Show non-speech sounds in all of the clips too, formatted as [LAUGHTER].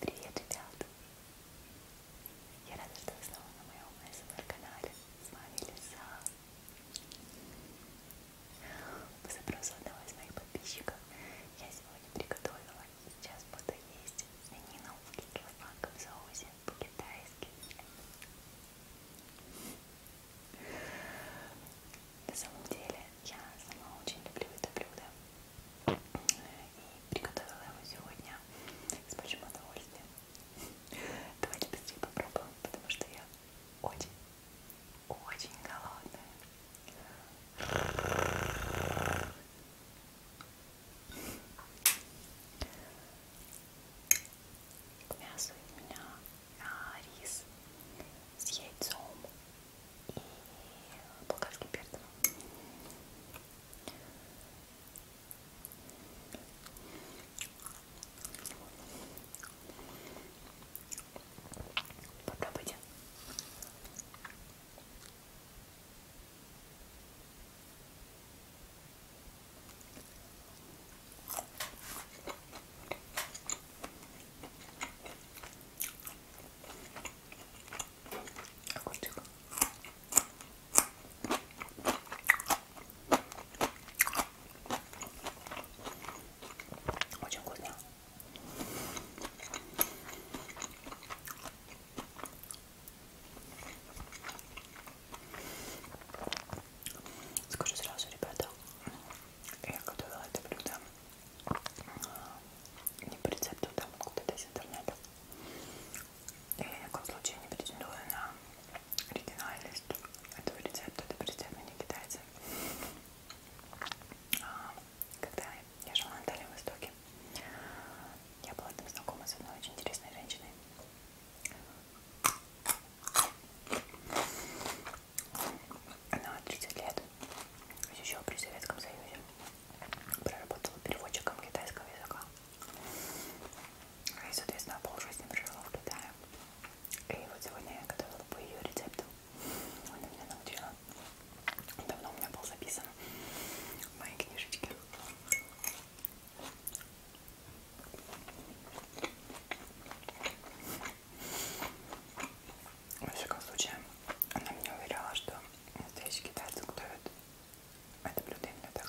Привет, ребята! Я рада, что вы снова на моем СМР-канале. Эм С вами Лиса. По запросу одного из моих подписчиков я сегодня приготовила и сейчас буду есть свинину в кисло-сладком соусе по-китайски. На самом деле я сама очень люблю это блюдо. Э, и Приготовила его сегодня с большим удовольствием. [LAUGHS] Давайте быстрее попробуем, потому что я очень, очень голодная. К мясу у меня а, рис с яйцом и болгарским перцем. Попробуйте. Огурчик. Очень вкусно. Скажу сразу, ребята, я готовила это блюдо не по рецепту, там куда-то из интернета. Я ни в коем случае не претендую на оригинальность этого рецепта, это рецепт не китайцы. А, когда я жила на Дальнем Востоке, я была там знакома с одной очень интересной женщиной. Она 30 лет, еще при Советском Союзе проработала переводчиком китайского языка. И, соответственно, полжизни прожила в Китае. И вот сегодня я готовила по ее рецепту. Она меня научила. Давно у меня был записан в моей книжечке. Во всяком случае, она мне уверяла, что настоящие китайцы готовят это блюдо именно так.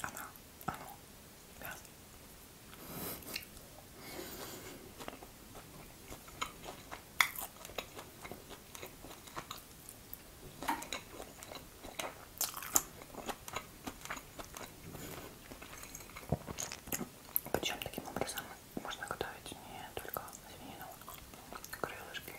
Она, оно, да. Причем таким образом можно готовить не только свинину, а крылышки,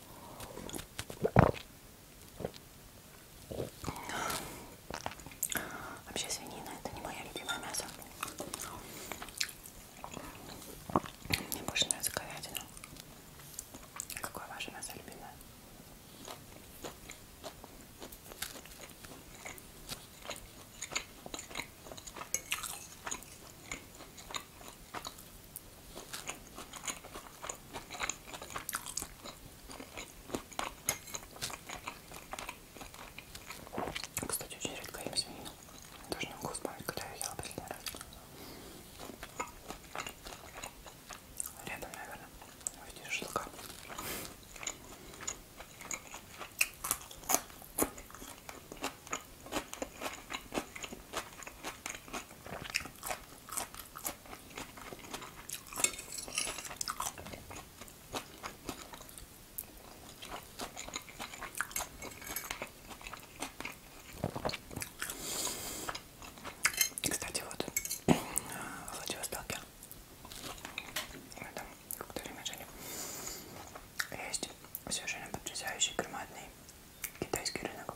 Вообще свинина это не мое любимое мясо. Мне больше нравится говядина. Какое ваше мясо любимое? Кстати, очень редко я сменила. Даже не могу вспомнить, когда я ела последний раз. Рядом, наверное, в виде шелка. Кстати, вот в Владивостоке, мы там какое-то время жили, есть совершенно потрясающий громадный китайский рынок.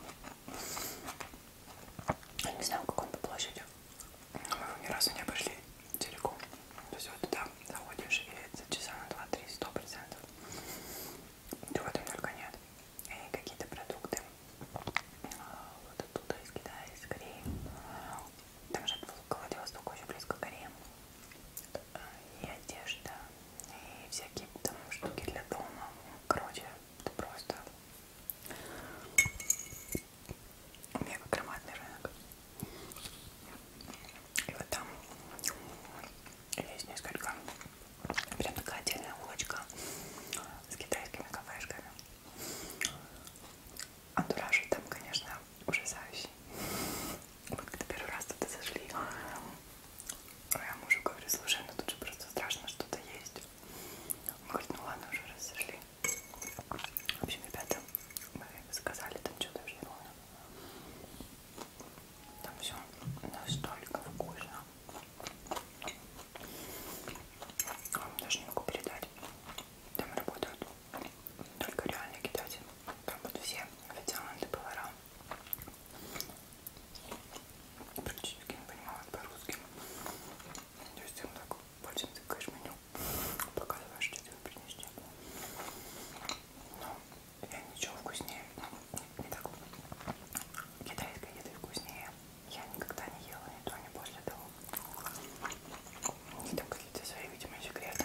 Я не знаю, как он по площади. Мы его ни разу не обошли целиком. То есть вот туда заходишь и за часа на 2-3 сто процентов. Чего там только нет. И какие-то продукты. А, вот оттуда, из Китая, из Кореи. Там же Владивосток очень близко к Корее и одежда, и всякие там штуки для дома. Короче, это просто мега громадный рынок. И вот там есть несколько, прям такая отдельная улочка с китайскими кафешками. Антуражи там, конечно, ужасающий. Вот когда первый раз туда зашли, я мужу говорю, слушай, ну тут же просто страшно что-то есть. Он говорит, ну ладно, уже раз зашли. В общем, ребята, мы заказали там что-то уже ровно. Там все настолько вкусно. Вам даже не могу передать. Там работают только реальные китайцы пробуют все официанты, повара. Практически не понимают по-русски. То есть им так больше тыкаешь меню, показываешь, что тебе принести. Но я ничего вкуснее, ну, не так. Китайская еда вкуснее. Я никогда не ела ни то, ни после того. Не там какие-то свои, видимо, секреты.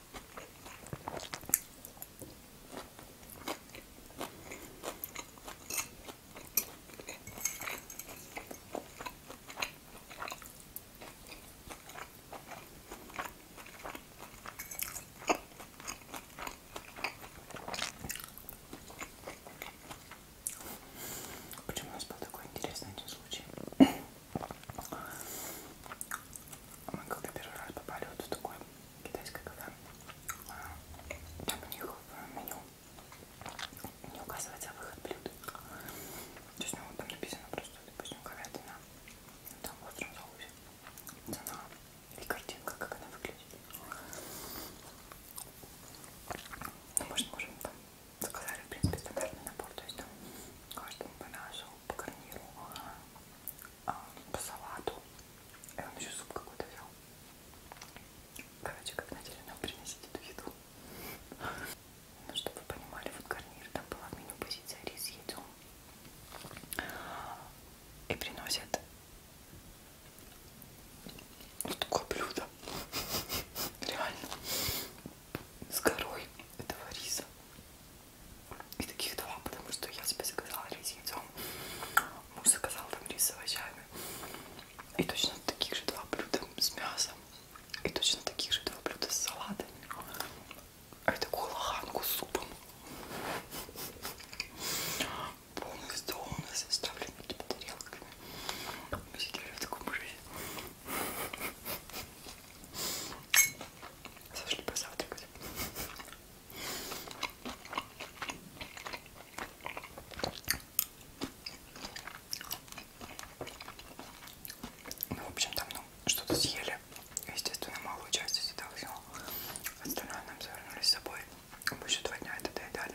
Почему у нас был такой интересный один случай? Мы когда первый раз попали вот в такое китайское кафе, а, там у них в меню не указывается выход блюд. То есть, ну, там написано просто, допустим, говядина, там в остром соусе, цена и картинка, как она выглядит. Ну, может, можем там Заказали, в принципе, стандартный набор, то есть там каждому по нашему, по гарниру, а, а, по салату. Я вам еще суп какой-то взял. Короче, как надели нам приносить эту еду. Ну, чтобы вы понимали, вот гарнир, там была в меню позиция рис, яйцо. И приносят вот такое блюдо. Реально с горой этого риса. И таких два, потому что я себе заказала рис яйцом, муж заказал там рис с овощами. И точно таких же два блюда с мясом. И точно таких же два блюда с салатами. А и такую лоханку с супом. Полный стол у нас оставлен типа тарелками. Мы сидели в таком рысе. Сошли позавтракать. Ну, в общем, там ну, что-то съели. Естественно, малую часть из этого всего. Остальное нам завернули с собой. Мы еще два дня это доедали.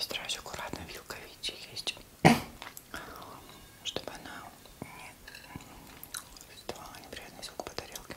Стараюсь аккуратно вилкой есть, чтобы она не создавала неприятный звук по тарелке.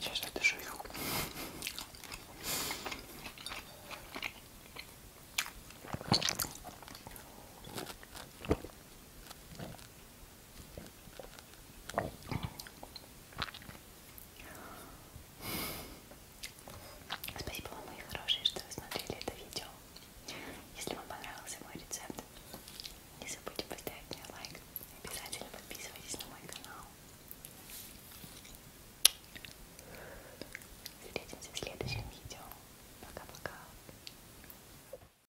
Сейчас это же их. Спасибо вам, мои хорошие, что вы смотрели это видео. Если вам понравился мой рецепт, не забудьте поставить мне лайк. Обязательно подписывайтесь на мой канал. Встретимся в следующем видео. Пока-пока.